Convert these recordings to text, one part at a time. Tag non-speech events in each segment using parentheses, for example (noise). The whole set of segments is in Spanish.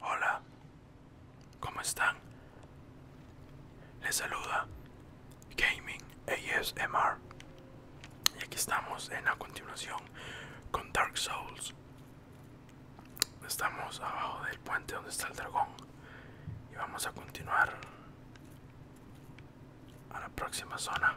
Hola, ¿cómo están? Les saluda Gaming ASMR y aquí estamos en la continuación con Dark Souls. Estamos abajo del puente donde está el dragón y vamos a continuar a la próxima zona.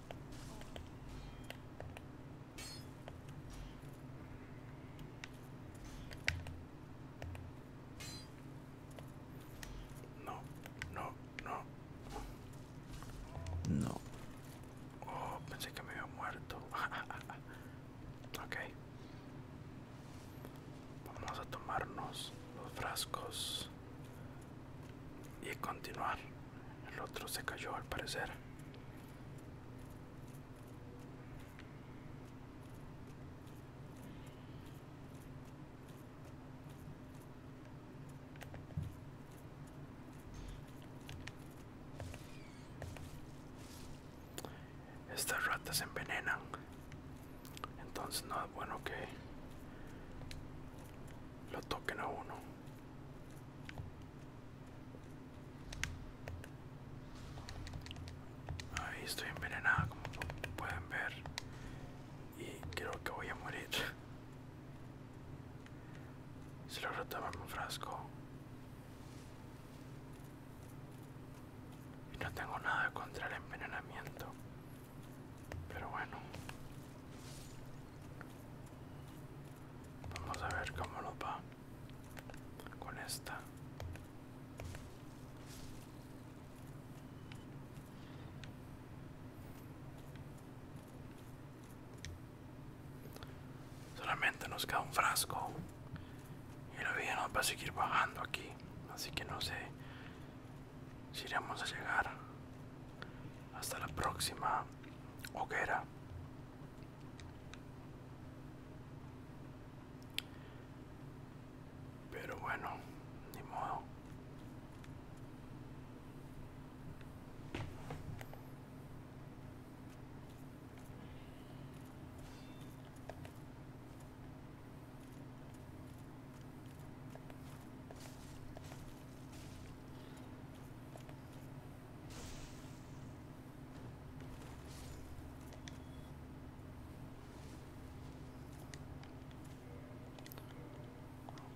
No, no, no. No. Oh, pensé que me había muerto. (laughs) Okay. Vamos a tomarnos los frascos y continuar. El otro se cayó al parecer. Estas ratas envenenan. Entonces no es bueno que lo toquen a uno. Ahí estoy envenenada como pueden ver y creo que voy a morir. Se lo rotaba un frasco y no tengo nada contra el envenenamiento, pero bueno. Vamos a ver cómo nos va con esta. Solamente nos queda un frasco y la vida nos va a seguir bajando aquí, así que no sé si iremos a llegar hasta la próxima hoguera. Pero bueno, ni modo.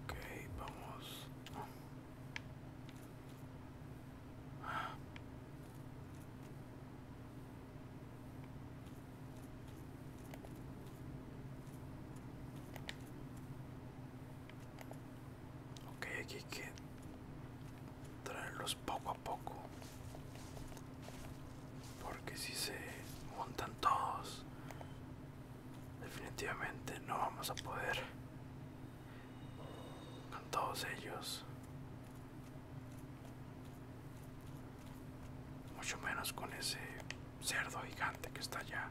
Ok, vamos. Ok, aquí hay que traerlos poco a poco. Porque si se montan todos, definitivamente no vamos a poder con todos ellos. Mucho menos con ese cerdo gigante que está allá.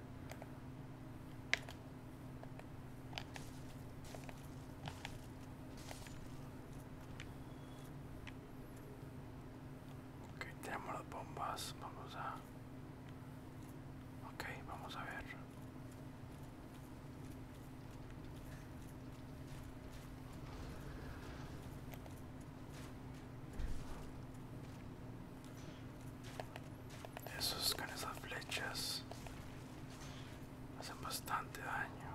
Ok, tenemos las bombas, vamos a... Ok, vamos a ver. Esos con esas flechas hacen bastante daño.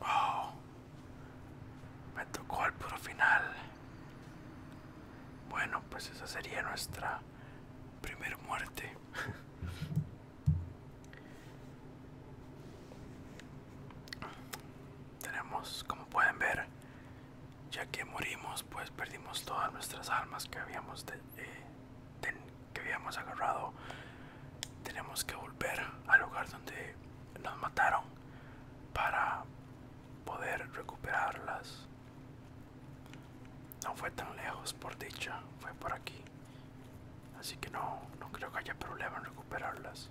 Oh, me tocó al puro final. Bueno, pues esa sería nuestra primera muerte. (laughs) tenemos como pueden ver ya que morimos pues perdimos todas nuestras armas que habíamos eh, que habíamos agarrado tenemos que volver al lugar donde nos mataron para poder recuperarlas no fue tan lejos por dicha fue por aquí así que no no creo que haya problema en recuperarlas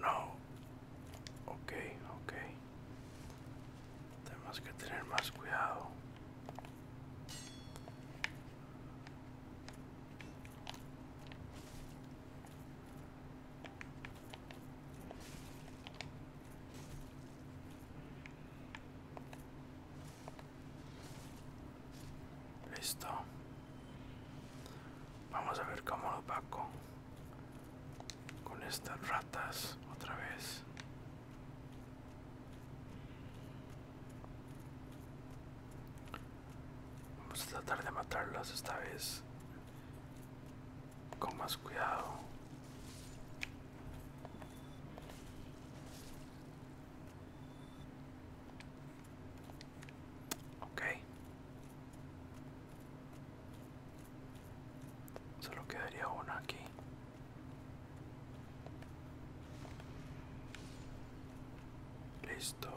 No. Ok, ok. Tenemos que tener más cuidado. Listo. Vamos a ver cómo lo paco con estas ratas otra vez. Vamos a tratar de matarlas esta vez con más cuidado. Ok. Solo quedaría uno aquí. Listo.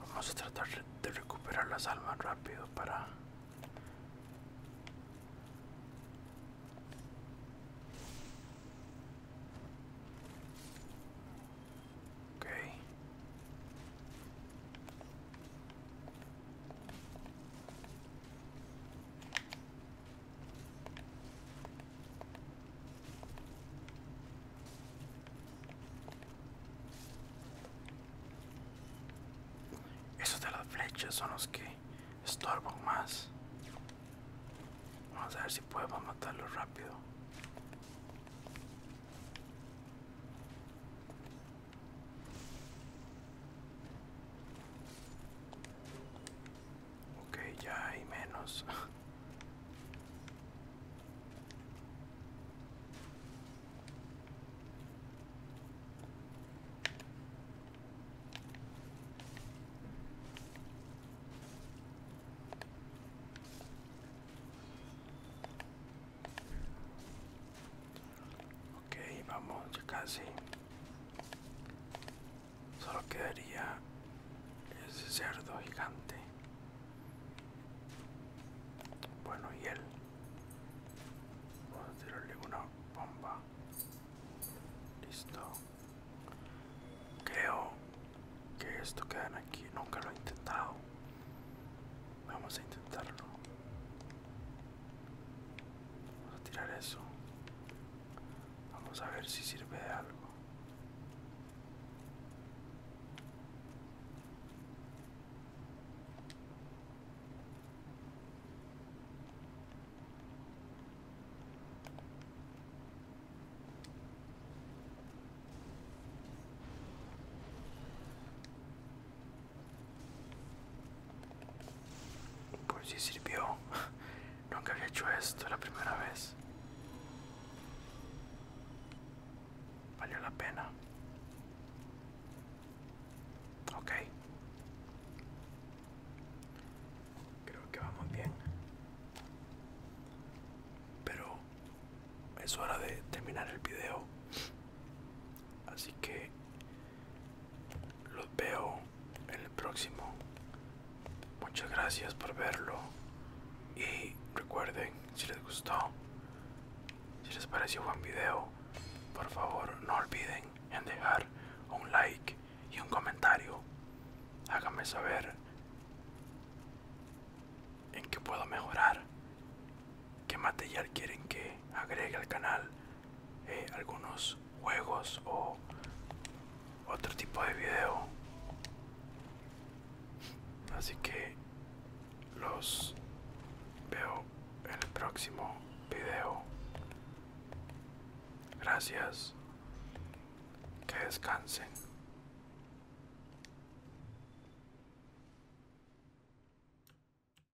Vamos a tratar de recuperar las almas rápido para... Okay. Esos de las flechas son los que estorban más. Vamos a ver si podemos matarlos rápido. Ok, ya hay menos. Ok, vamos, ya casi. Solo quedaría ese cerdo gigante. Bueno, y él. Vamos a tirarle una bomba. Listo. Creo que esto quedan aquí. Nunca lo he intentado. Vamos a intentarlo. Vamos a tirar eso. Vamos a ver si sirve de algo. Pues si sirvió. (laughs) Nunca había hecho esto la primera vez. Valió la pena. Ok. Creo que vamos bien. Pero es hora de terminar el video. Así que los veo en el próximo. Muchas gracias por verlo. Y recuerden, si les gustó, si les pareció buen video, por favor no olviden en dejar un like y un comentario. Háganme saber en qué puedo mejorar qué material quieren que agregue al canal eh, algunos juegos o otro tipo de video así que los veo en el próximo video gracias que descansen